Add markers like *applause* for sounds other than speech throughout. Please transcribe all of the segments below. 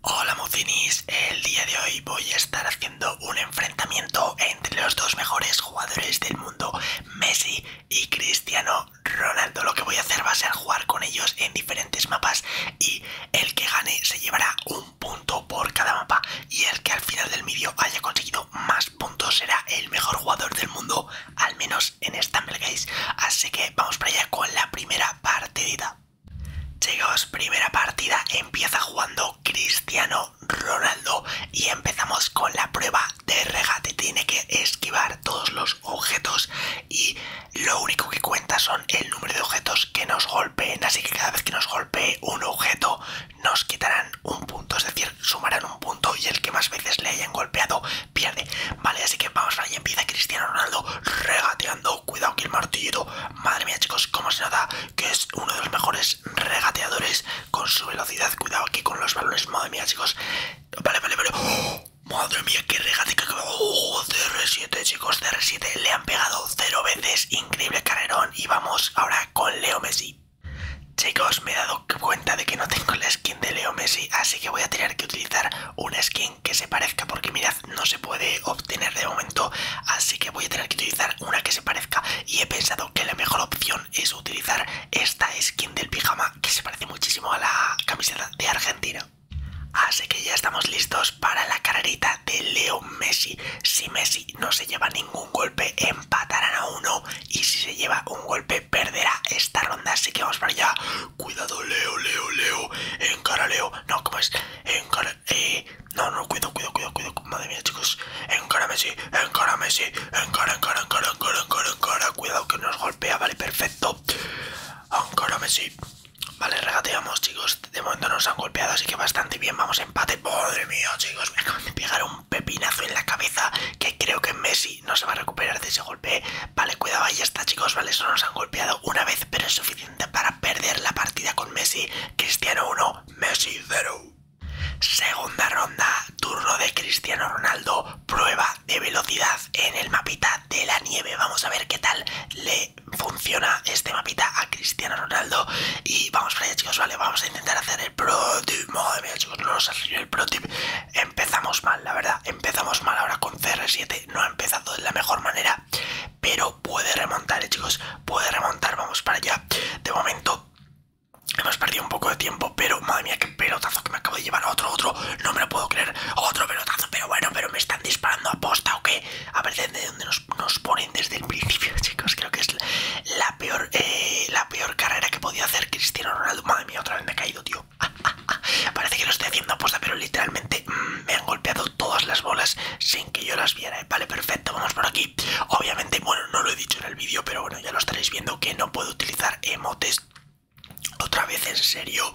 Hola Mucinis, el día de hoy voy a estar haciendo un enfrentamiento entre los dos mejores jugadores del mundo, Messi y Cristiano Ronaldo. Lo que voy a hacer va a ser jugar con ellos en diferentes mapas y el que gane se llevará un punto por cada mapa y el que al final del vídeo haya conseguido más puntos será el mejor jugador del mundo, al menos en esta Así que vamos para allá con la primera partida. Chicos, primera partida empieza jugando Cristiano Ronaldo y empezamos con la prueba de regate. Tiene que esquivar todos los objetos y lo único que cuenta son el número de objetos que nos golpeen. Así que cada vez que nos golpee un objeto nos quitarán un punto, es decir, sumarán un punto y el que más veces le hayan golpeado pierde Vale, así que vamos para en Empieza Cristiano Ronaldo regateando. Cuidado que el martillito. Madre mía, chicos, como se nota que es uno de los mejores regateadores con su velocidad. Cuidado aquí con los balones. Madre mía, chicos. Vale, vale, vale. ¡Oh! Madre mía, qué regate que cr CR7, chicos, CR7. Le han pegado cero veces. Increíble carrerón. Y vamos ahora con Leo Messi. Chicos, me he dado cuenta de que no tengo la skin de Leo Messi, así que voy a tener que utilizar una skin que se parezca, porque mirad no se puede obtener de momento, así que voy a tener que utilizar una que se parezca. Y he pensado que la mejor opción es utilizar esta skin del pijama que se parece muchísimo a la camiseta de Argentina. Así que ya estamos listos para la carrerita de Leo Messi. Si Messi no se lleva ningún golpe, empatarán a uno. Y si se lleva un golpe, perderá esta ronda. Así que vamos para allá. Cuidado, Leo, Leo, Leo. Encara, Leo. No, ¿cómo es? Encara. Eh. No, no, cuidado, cuidado, cuidado, cuidado. Madre mía, chicos. Encara, Messi. Encara, Messi. Encara, encara, encara, encara, encara, encara. Cuidado que nos golpea. Vale, perfecto. Encara, Messi. Vale, regateamos, chicos. De momento nos han golpeado, así que bastante bien. Vamos empate. Madre mía, chicos. Me un pepinazo en la cabeza que creo que Messi no se va a recuperar de ese golpe. Vale, cuidado, ahí está, chicos. Vale, solo nos han golpeado una vez, pero es suficiente para perder la partida con Messi. Cristiano 1, Messi 0. Segunda ronda, turno de Cristiano Ronaldo, prueba de velocidad en el mapita de la nieve. Vamos a ver qué tal le funciona este mapita a Cristiano Ronaldo. Y vamos para allá, chicos, vale, vamos a intentar hacer el pro tip. Madre mía, chicos, no nos salido el pro tip. Empezamos mal, la verdad. Empezamos mal ahora con CR7. No ha empezado de la mejor manera. Pero puede remontar, eh, chicos. Puede remontar. Vamos para allá. De momento hemos perdido un poco de tiempo. Pero, madre mía, qué pelotazo que me acabo de llevar. Otro, otro. No me lo puedo creer. Otro pelotazo. Pero bueno, pero me están disparando a posta o qué. A ver desde dónde nos, ponen desde el principio, *laughs* chicos. Creo que es la, peor, eh, la peor carrera que podía hacer Cristiano Ronaldo. Madre mía, otra vez me he caído, tío. *laughs* Parece que lo estoy haciendo puesta pero literalmente mm, me han golpeado todas las bolas sin que yo las viera. ¿eh? Vale, perfecto, vamos por aquí. Obviamente, bueno, no lo he dicho en el vídeo, pero bueno, ya lo estaréis viendo que no puedo utilizar emotes. Otra vez, en serio,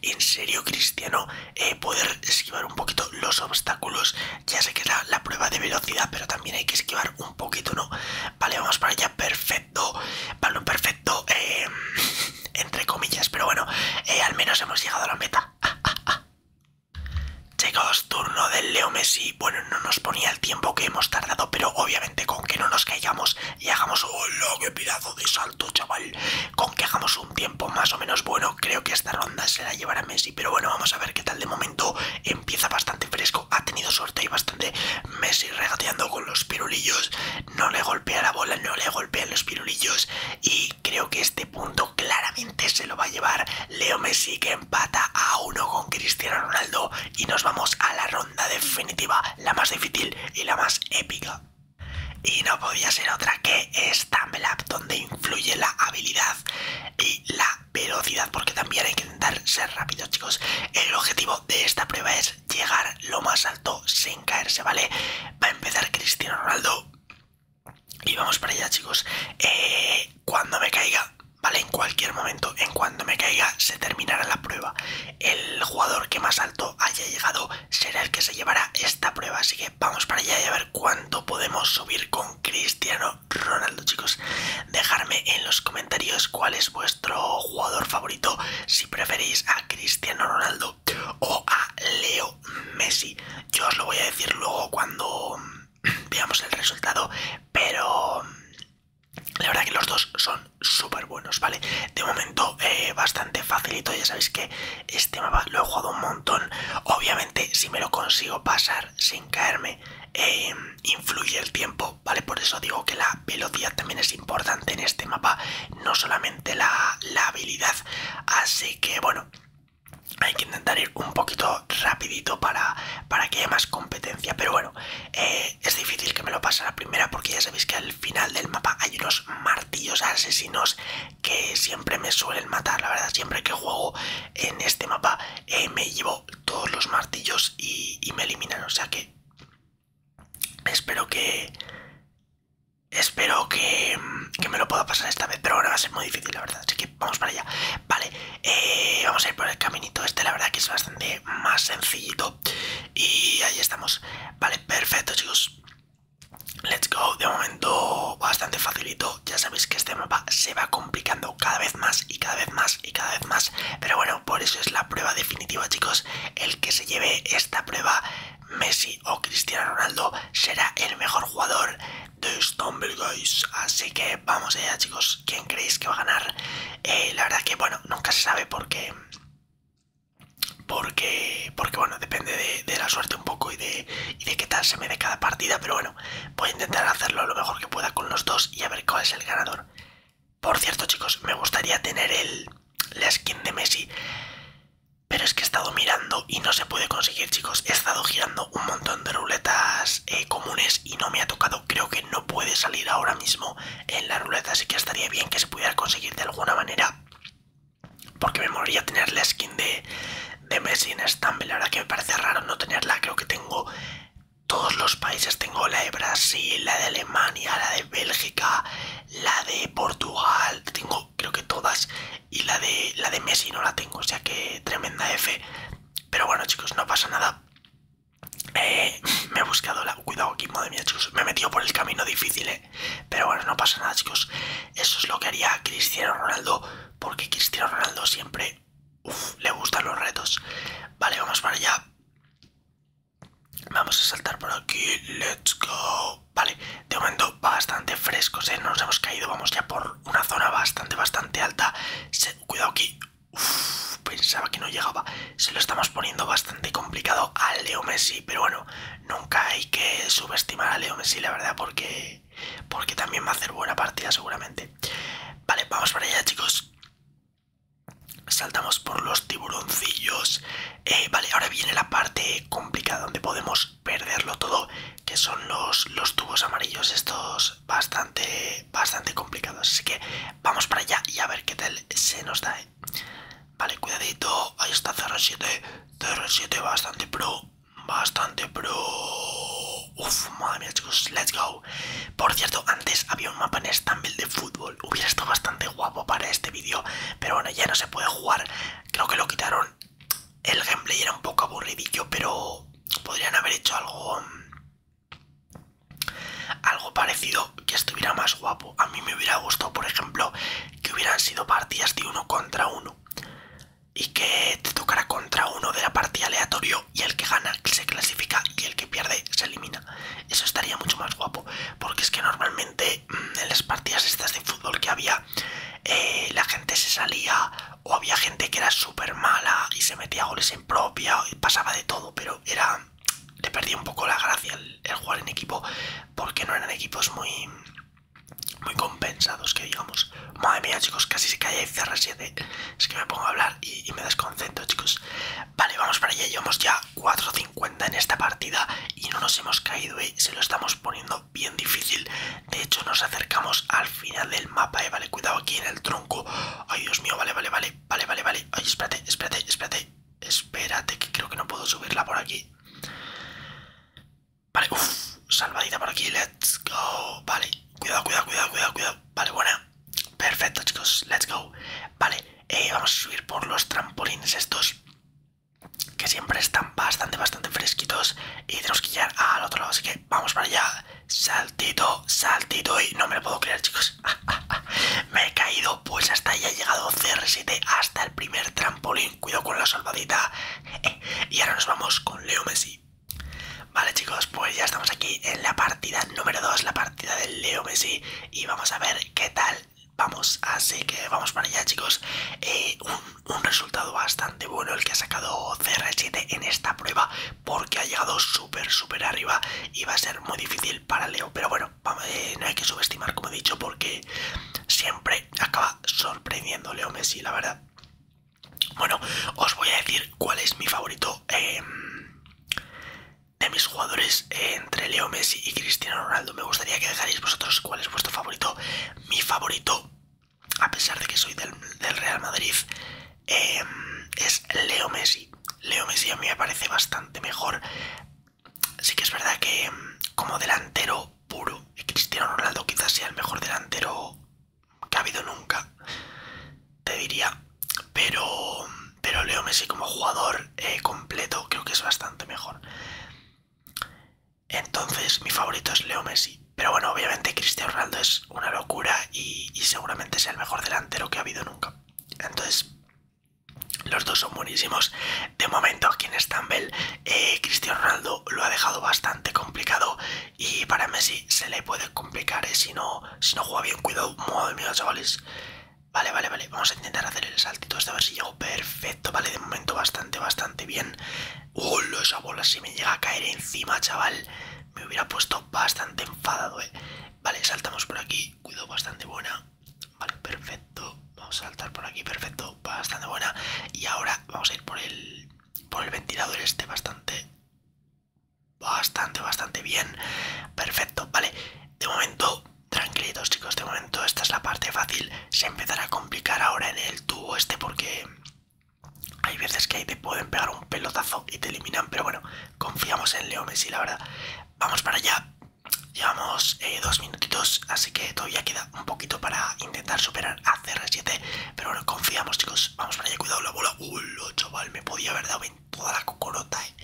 en serio, Cristiano, eh, poder esquivar un poquito los obstáculos. Ya sé que es la, la prueba de velocidad, pero también hay que esquivar un poquito, ¿no? Vale, vamos para allá, perfecto, un perfecto, eh, *laughs* entre comillas, pero bueno, eh, al menos hemos llegado a la meta. *laughs* Chicos, turno del Leo Messi. Bueno, no nos ponía el tiempo que hemos tardado, pero obviamente con que no nos caigamos y hagamos... ¡Hola, que pedazo de salto, chaval! Con que hagamos un tiempo más o menos bueno, creo que esta ronda se la llevará Messi. Pero bueno, vamos a ver qué tal de momento. Empieza bastante fresco, ha tenido suerte y bastante Messi regateando con los pirulillos no le golpea la bola, no le golpea los pirulillos y creo que este punto claramente se lo va a llevar Leo Messi que empata a uno con Cristiano Ronaldo y nos vamos a la ronda definitiva, la más difícil y la más épica. Y no podía ser otra que Stumble Up, donde influye la habilidad y la velocidad, porque también hay que intentar ser rápido, chicos. El objetivo de esta prueba es llegar lo más alto sin caerse, ¿vale? Va a empezar Cristiano Ronaldo y vamos para allá, chicos. Eh, cuando me caiga, ¿vale? En cualquier momento, en cuando me caiga, se terminará la prueba. El jugador que más alto haya llegado será el que se llevará esta prueba. Así que vamos para allá y a ver cuánto podemos subir con Cristiano Ronaldo, chicos. Dejarme en los comentarios cuál es vuestro jugador favorito, si preferís a Cristiano Ronaldo o a Leo Messi. Yo os lo voy a decir luego cuando mm, *clears throat* veamos el resultado, pero mm, la verdad que los dos son súper buenos, ¿vale? De momento eh, bastante facilito, ya sabéis que este mapa lo he jugado un montón. Obviamente si me lo consigo pasar sin caerme, eh, influye el tiempo, ¿vale? Por eso digo que la velocidad también es importante en este mapa, no solamente la, habilidad. Así que bueno, hay que intentar ir un poquito rapidito para, para que haya más competencia. Pero bueno, eh, es difícil que me lo pase la primera porque ya sabéis que al final del mapa hay unos martillos asesinos que siempre me suelen matar. La verdad, siempre que juego en este mapa eh, me llevo todos los martillos y, y me eliminan. O sea que Espero que... Espero que, que me lo pueda pasar esta vez, pero ahora va a ser muy difícil, la verdad. Así que vamos para allá. Vale, eh, vamos a ir por el caminito este, la verdad que es bastante más sencillito. Y ahí estamos. Vale, perfecto, chicos. Let's go. De momento, bastante facilito. Ya sabéis que este mapa se va complicando cada vez más y cada vez más y cada vez más. Pero bueno, por eso es la prueba definitiva, chicos. El que se lleve esta prueba, Messi o Cristiano Ronaldo, será el mejor jugador de Stumble Guys. Así que vamos allá, chicos. ¿Quién creéis que va a ganar? Eh, la verdad que, bueno, nunca se sabe porque... Porque, porque bueno, depende de, la suerte un poco y de, y de qué tal se me dé cada partida. Pero bueno, voy a intentar hacerlo lo mejor que pueda con los dos y a ver cuál es el ganador. Por cierto, chicos, me gustaría tener el, la skin de Messi. Pero es que he estado mirando y no se puede conseguir, chicos. He estado girando un montón de ruletas eh, comunes y no me ha tocado. Creo que no puede salir ahora mismo en la ruleta, así que estaría bien que se pudiera conseguir de alguna manera. Porque me moriría tener la skin de, Messi en Stumble. La verdad que me parece raro no tenerla. Creo que tengo todos los países tengo la de Brasil, la de Alemania, la de Bélgica, la de Portugal, tengo creo que todas y la de la de Messi no la tengo, o sea que tremenda F. Pero bueno chicos, no pasa nada. Eh, *laughs* me he buscado la... Cuidado aquí, madre mía chicos, me he metido por el camino difícil, eh. Pero bueno, no pasa nada chicos. Eso es lo que haría Cristiano Ronaldo, porque Cristiano Ronaldo siempre le gustan los retos. Vale, vamos para allá. Vamos a saltar por aquí. Let's go. Vale, de momento bastante frescos, ¿eh? nos hemos caído. Vamos ya por una zona bastante, bastante alta. Cuidado aquí. pensaba que no llegaba. Se lo estamos poniendo bastante complicado a Leo Messi. Pero bueno, nunca hay que subestimar a Leo Messi, la verdad, porque, porque también va a hacer buena partida seguramente. Vale, vamos para allá, chicos. Saltamos por los tiburoncillos. Eh, vale, ahora viene la parte complicada donde podemos perderlo todo, que son los, los tubos amarillos estos bastante, bastante complicados. Así que vamos para allá y a ver qué tal se nos da. Eh. Vale, cuidadito. Ahí está CR7. 7 bastante pro. Bastante pro. Uf, madre mía chicos, let's go Por cierto, antes había un mapa en estambul de fútbol Hubiera estado bastante guapo para este vídeo Pero bueno, ya no se puede jugar Creo que lo quitaron El gameplay era un poco aburridillo Pero podrían haber hecho algo mm, Algo parecido que estuviera más guapo A mí me hubiera gustado, por ejemplo Que hubieran sido partidas de uno contra uno y que te tocará contra uno de la partida aleatorio y el que gana se clasifica y el que pierde se elimina. Eso estaría mucho más guapo, porque es que normalmente mm, en las partidas estas de fútbol que había eh, la gente se salía o había gente que era súper mala y se metía goles en propia y pasaba de todo, pero era le perdía un poco la gracia el jugar en equipo porque no eran equipos muy muy compensados que digamos Madre mía, chicos, casi se cae cerra 7 Es que me pongo a hablar y, y me desconcentro, chicos. Vale, vamos para allá. Llevamos ya 4.50 en esta partida y no nos hemos caído, ¿eh? Se lo estamos poniendo bien difícil. De hecho, nos acercamos al final del mapa, ¿eh? Vale, cuidado aquí en el tronco. Ay, Dios mío, vale, vale, vale, vale, vale, vale. Ay, espérate, espérate, espérate. Espérate, que creo que no puedo subirla por aquí. Vale, uff salvadita por aquí, let's go. Vale, cuidado, cuidado, cuidado, cuidado, cuidado. Vale, buena. Perfecto, chicos, let's go. Vale, eh, vamos a subir por los trampolines estos que siempre están bastante, bastante fresquitos y tenemos que llegar al otro lado, así que vamos para allá. Saltito, saltito y no me lo puedo creer, chicos. *laughs* Me he caído, pues hasta ahí ha llegado CR7 hasta el primer trampolín. Cuidado con la salvadita. *laughs* y ahora nos vamos con Leo Messi. Vale chicos, pues ya estamos aquí en la partida número 2, la partida de Leo Messi y vamos a ver qué tal vamos, así que vamos para allá chicos. Eh, un, resultado bastante bueno el que ha sacado CR7 en esta prueba porque ha llegado súper súper arriba y va a ser muy difícil para Leo, pero bueno, eh, no hay que subestimar como he dicho porque siempre acaba sorprendiendo Leo Messi, la verdad. Bueno, os voy a decir cuál es mi favorito eh, de mis jugadores eh, entre Leo Messi y Cristiano Ronaldo. Me gustaría que dejáis vosotros cuál es vuestro favorito. Mi favorito, a pesar de que soy del, Real Madrid, eh, es Leo Messi. Leo Messi a mí me parece bastante mejor. Sí que es verdad que como delantero puro, Cristiano Ronaldo quizás sea el mejor delantero que ha habido nunca, te diría. Pero, pero Leo Messi como jugador eh, completo creo que es bastante mejor. Entonces mi favorito es Leo Messi. Pero bueno, obviamente Cristiano Ronaldo es una locura y, seguramente sea el mejor delantero que ha habido nunca. Entonces, los dos son buenísimos. De momento aquí en Stambell, Cristian eh, Cristiano Ronaldo lo ha dejado bastante complicado y para Messi se le puede complicar, ¿eh? si, no, si no juega bien, cuidado, madre mía, chavales. Vale, vale, vale, vamos a intentar hacer el saltito este, a ver si llego perfecto, vale, de momento bastante, bastante bien. hola esa bola si me llega a caer encima, chaval! Me hubiera puesto bastante enfadado, ¿eh? Vale, saltamos por aquí, cuidado, bastante buena. Vale, perfecto, vamos a saltar por aquí, perfecto, bastante buena. Y ahora vamos a ir por el por el ventilador este bastante bastante bastante bien perfecto vale de momento tranquilitos chicos de momento esta es la parte fácil se empezará a complicar ahora en el tubo este porque hay veces que ahí te pueden pegar un pelotazo y te eliminan pero bueno confiamos en Leo Messi la verdad vamos para allá llevamos eh, dos minutitos así que todavía queda un poquito para intentar superar a CR7. Pero bueno, confiamos, chicos. Vamos para allá, cuidado la bola. Ulo, chaval, me podía haber dado en toda la cocorota. Eh.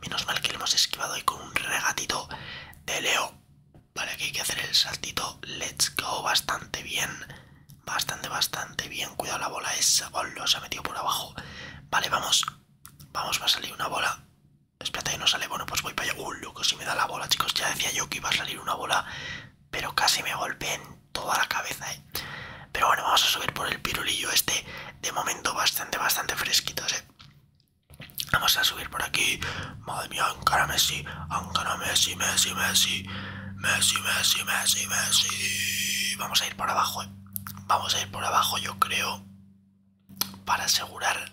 Menos mal que lo hemos esquivado Y con un regatito de Leo. Vale, aquí hay que hacer el saltito. Let's go, bastante bien. Bastante, bastante bien. Cuidado la bola esa. bola se ha metido por abajo. Vale, vamos. Vamos, va a salir una bola. Espérate que no sale. Bueno, pues voy para allá. Uh, loco, si me da la bola, chicos. Ya decía yo que iba a salir una bola pero casi me golpeé en toda la cabeza, ¿eh? Pero bueno, vamos a subir por el pirulillo este, de momento bastante, bastante fresquitos, ¿eh? Vamos a subir por aquí. Madre mía, Ankara Messi, Ankara Messi, Messi, Messi, Messi, Messi, Messi, Messi. Vamos a ir por abajo, ¿eh? Vamos a ir por abajo, yo creo, para asegurar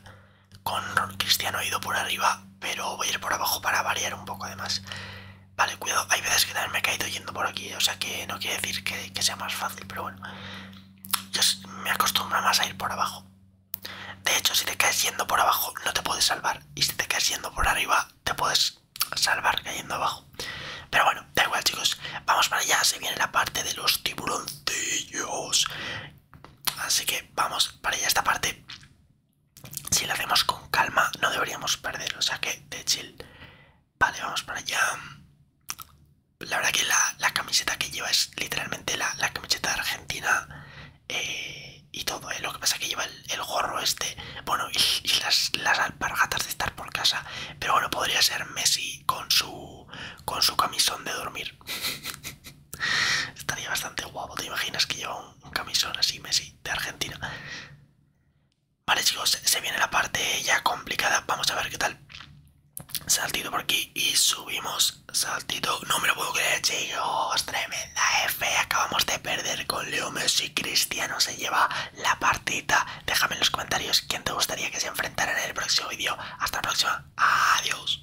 con Cristiano he ido por arriba, pero voy a ir por abajo para variar un poco además. Vale, cuidado, hay veces que también me he caído yendo por aquí, o sea que no quiere decir que, sea más fácil, pero bueno. Yo me acostumbro más a ir por abajo. De hecho, si te caes yendo por abajo, no te puedes salvar. Y si te caes yendo por arriba, te puedes salvar cayendo abajo. Pero bueno, da igual chicos, vamos para allá, se viene la parte de los tiburoncillos. Así que vamos para allá esta parte si lo hacemos con calma no deberíamos perder, o sea que de chill. Vale, vamos para allá. La verdad que la, camiseta que lleva es literalmente la, camiseta de Argentina eh, y todo, eh. lo que pasa es que lleva el, gorro este, bueno, y, las, las alpargatas de estar por casa, pero bueno, podría ser Messi con su, con su camisón de dormir. *laughs* Estaría bastante guapo, ¿te imaginas que lleva un, camisón así Messi de Argentina? Vale chicos, se viene la parte ya complicada, vamos a ver qué tal. Saltito por aquí y subimos, saltito, no me lo puedo creer chicos, tremenda F, acabamos de perder con Leo Messi, Cristiano se lleva la partita. Déjame en los comentarios quién te gustaría que se enfrentara en el próximo vídeo. Hasta la próxima, adiós.